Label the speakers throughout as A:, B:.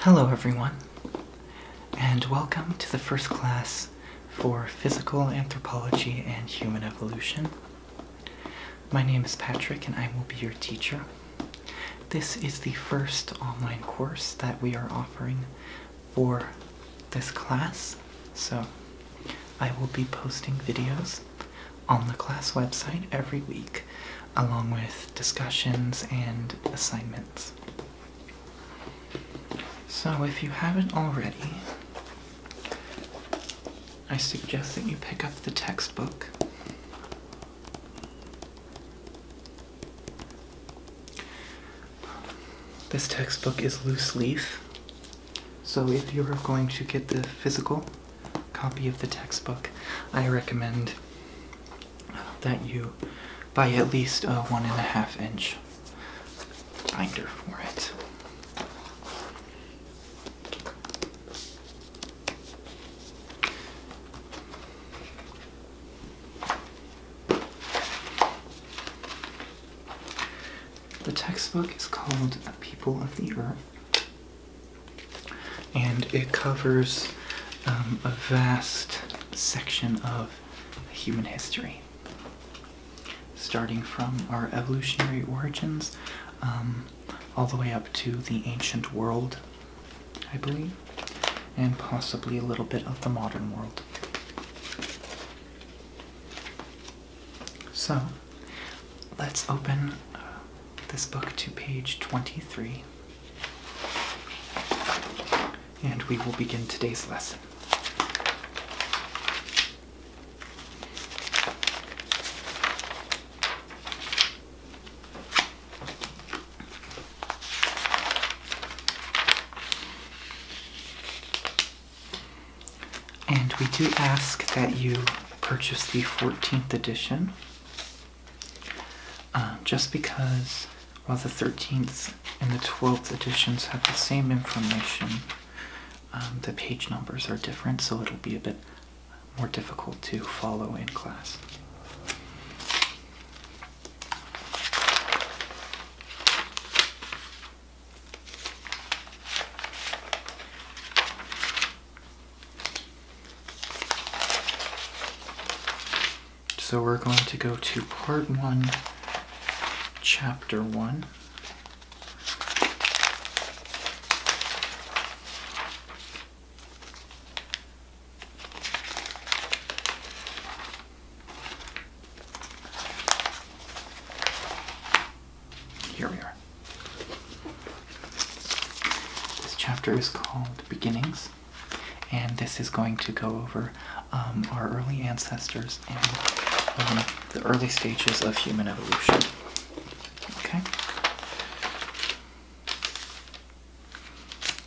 A: Hello everyone, and welcome to the first class for Physical Anthropology and Human Evolution. My name is Patrick and I will be your teacher. This is the first online course that we are offering for this class. So I will be posting videos on the class website every week along with discussions and assignments. So if you haven't already, I suggest that you pick up the textbook. This textbook is loose leaf so if you're going to get the physical copy of the textbook, I recommend that you buy at least a one and a half inch binder for it. The textbook is called People of the Earth, and it covers um, a vast section of human history, starting from our evolutionary origins um, all the way up to the ancient world, I believe, and possibly a little bit of the modern world. So, let's open uh, this book to page 23, and we will begin today's lesson. And we do ask that you purchase the 14th edition uh, just because while the 13th and the 12th editions have the same information, um, the page numbers are different, so it'll be a bit more difficult to follow in class. So we're going to go to part one, chapter one. Here we are. This chapter is called Beginnings, and this is going to go over um, our early ancestors and um, the early stages of human evolution. Okay?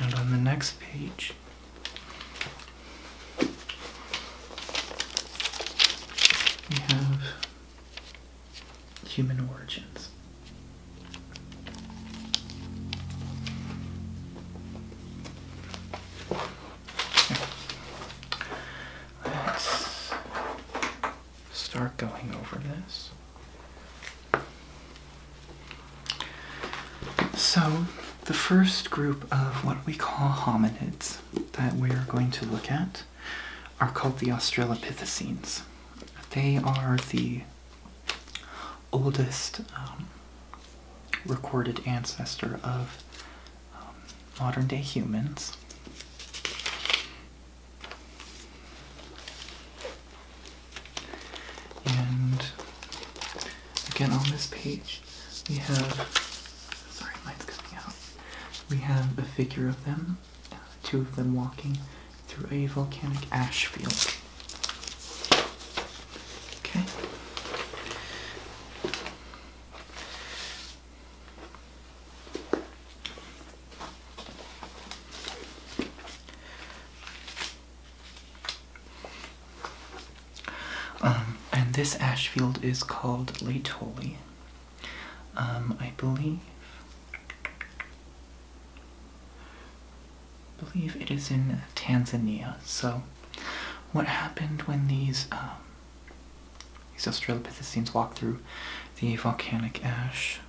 A: And on the next page, we have human origins. Let's start going over this. So, the first group of what we call hominids that we are going to look at are called the Australopithecines. They are the oldest um, recorded ancestor of um, modern day humans. And again, on this page, we have Sorry, light's coming out. We have a figure of them, uh, two of them walking through a volcanic ash field. Okay. Um, and this ash field is called Laetoli. Um, I believe believe it is in Tanzania. So, what happened when these um, these Australopithecines walked through the volcanic ash?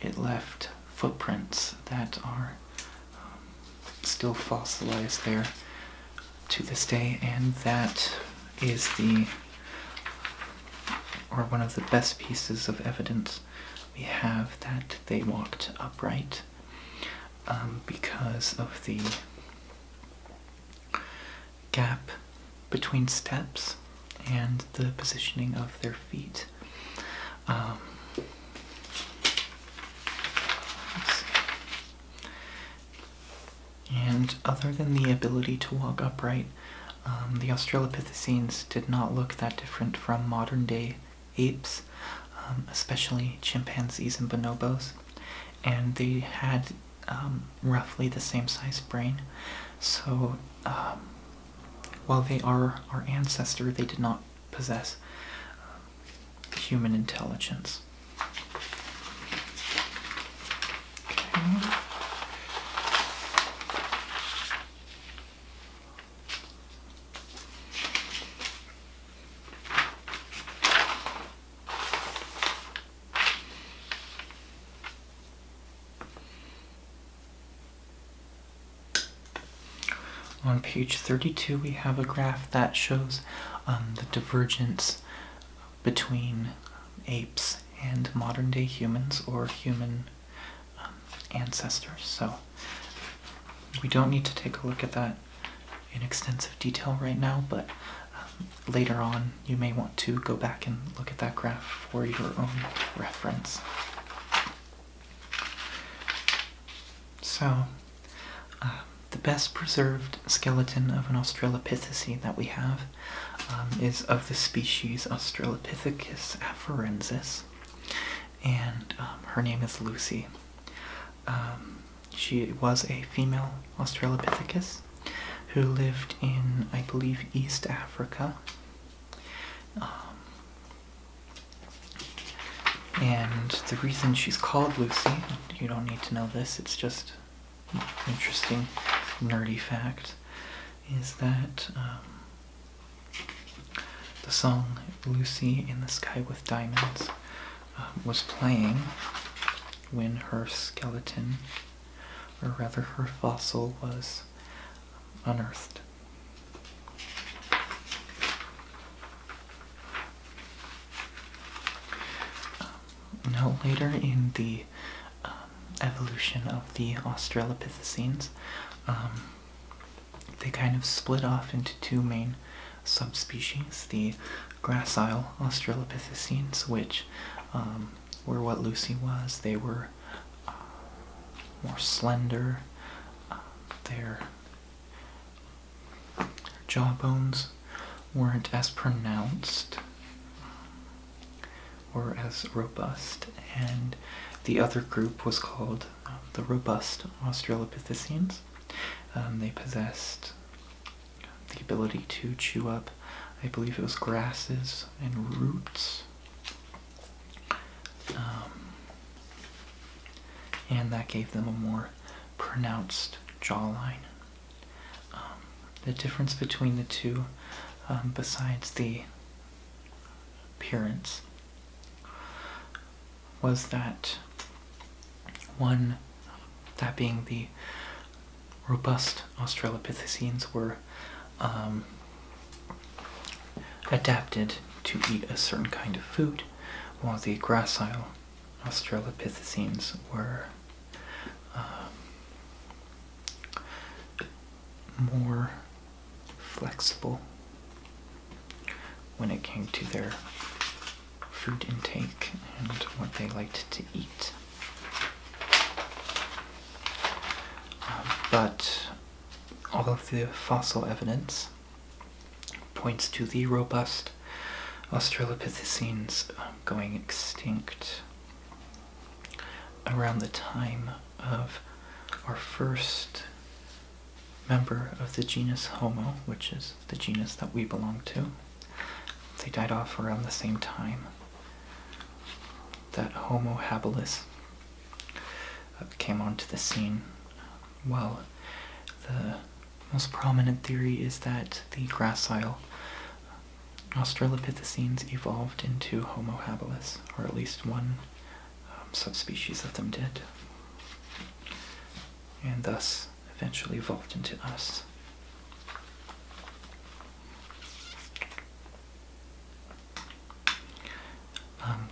A: it left footprints that are still fossilized there to this day, and that is the or one of the best pieces of evidence we have that they walked upright um, because of the gap between steps and the positioning of their feet. Um, and other than the ability to walk upright, um, the Australopithecines did not look that different from modern day apes, um, especially chimpanzees and bonobos, and they had um, roughly the same size brain. So while they are our ancestor, they did not possess human intelligence. On page 32, we have a graph that shows um, the divergence between apes and modern day humans or human um, ancestors. So we don't need to take a look at that in extensive detail right now, but um, later on you may want to go back and look at that graph for your own reference. So um, the best preserved skeleton of an Australopithecine that we have um, is of the species Australopithecus afarensis, and um, her name is Lucy. she was a female Australopithecus who lived in, I believe, East Africa. and the reason she's called Lucy, you don't need to know this, it's just interesting nerdy fact is that um, the song Lucy in the Sky with Diamonds uh, was playing when her skeleton, or rather her fossil, was unearthed. Um, now, later in the um, evolution of the Australopithecines, um, they kind of split off into two main subspecies the gracile Australopithecines, which were what Lucy was. They were uh, more slender, uh, their jawbones weren't as pronounced or as robust, and the other group was called um, the robust Australopithecines. Um, they possessed the ability to chew up, I believe it was grasses and roots. Um, and that gave them a more pronounced jawline um, the difference between the two, um, besides the appearance, was that one, that being the robust Australopithecines, were um, adapted to eat a certain kind of food, while the gracile Australopithecines were um, more flexible when it came to their food intake and what they liked to eat. Um, but all of the fossil evidence points to the robust Australopithecines um, going extinct around the time of our first member of the genus Homo, which is the genus that we belong to. They died off around the same time that Homo habilis uh, came onto the scene while the most prominent theory is that the gracile Australopithecines evolved into Homo habilis, or at least one um, subspecies of them did, and thus eventually evolved into us. Um,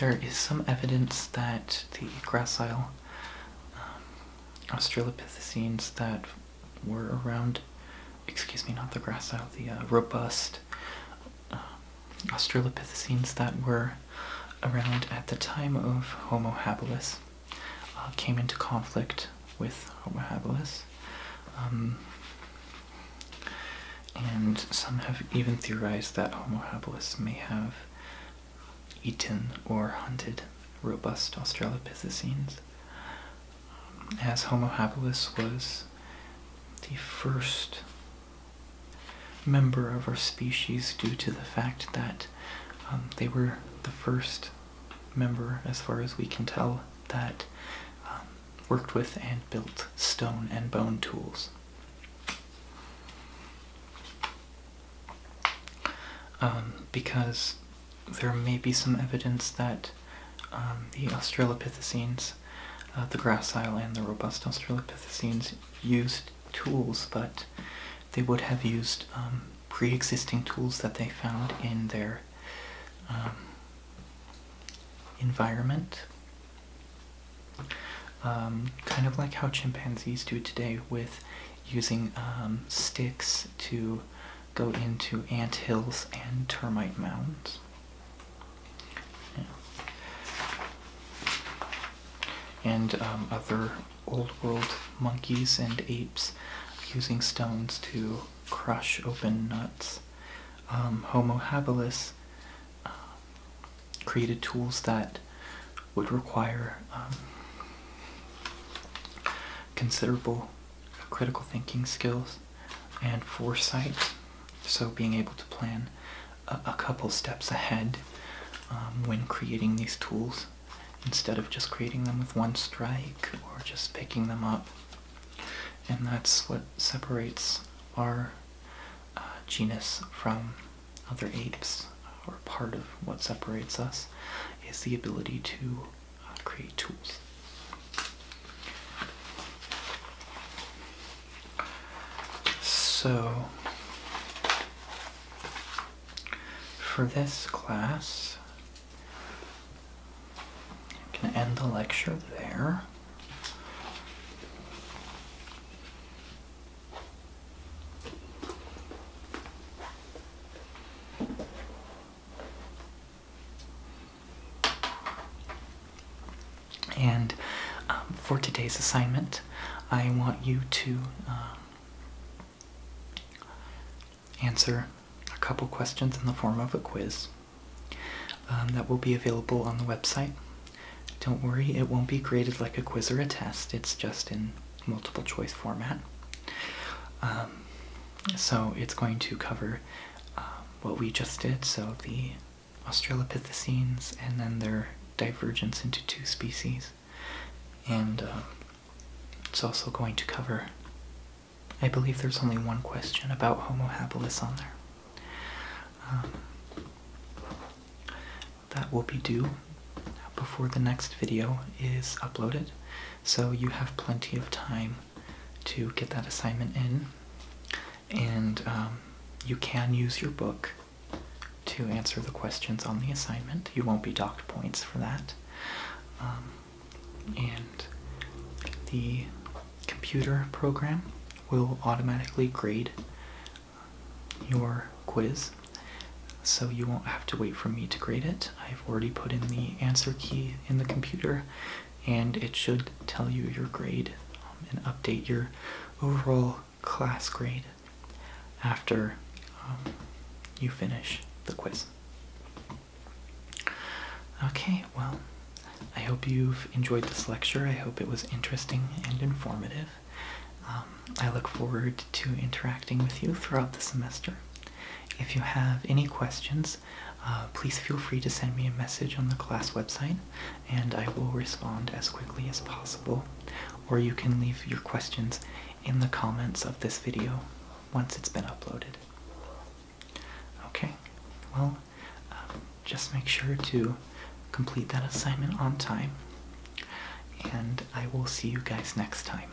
A: there is some evidence that the gracile um, Australopithecines that were around, excuse me, not the gracile, uh, the uh, robust uh, Australopithecines that were around at the time of Homo habilis came into conflict with Homo habilis. Um, and some have even theorized that Homo habilis may have eaten or hunted robust Australopithecines, as Homo habilis was the first member of our species due to the fact that um, they were the first member, as far as we can tell, that um, worked with and built stone and bone tools. Um, because there may be some evidence that um, the Australopithecines, uh, the gracile and the robust Australopithecines, used tools, but they would have used um, pre-existing tools that they found in their environment. kind of like how chimpanzees do today with using um, sticks to go into ant hills and termite mounds. And um, other old world monkeys and apes using stones to crush open nuts. Um, Homo habilis created tools that would require considerable critical thinking skills and foresight. So, being able to plan a, couple steps ahead um, when creating these tools instead of just creating them with one strike or just picking them up. And that's what separates our uh, genus from other apes, or part of what separates us, is the ability to uh, create tools. So, for this class, I am gonna end the lecture there. And um, for today's assignment, I want you to um, answer a couple questions in the form of a quiz um, that will be available on the website. Don't worry, it won't be graded like a quiz or a test, it's just in multiple choice format. Um, so it's going to cover um, what we just did, so the Australopithecines and then their divergence into two species. And um, it's also going to cover, I believe there's only one question about Homo habilis on there. that will be due before the next video is uploaded. So you have plenty of time to get that assignment in, and um, you can use your book to answer the questions on the assignment. You won't be docked points for that. Um, and the computer program will automatically grade your quiz so you won't have to wait for me to grade it. I've already put in the answer key in the computer and it should tell you your grade um, and update your overall class grade after um, you finish the quiz. Okay, well, I hope you've enjoyed this lecture. I hope it was interesting and informative. Um, I look forward to interacting with you throughout the semester. If you have any questions, uh, please feel free to send me a message on the class website and I will respond as quickly as possible. Or you can leave your questions in the comments of this video once it's been uploaded. Okay, well, um, just make sure to complete that assignment on time and I will see you guys next time.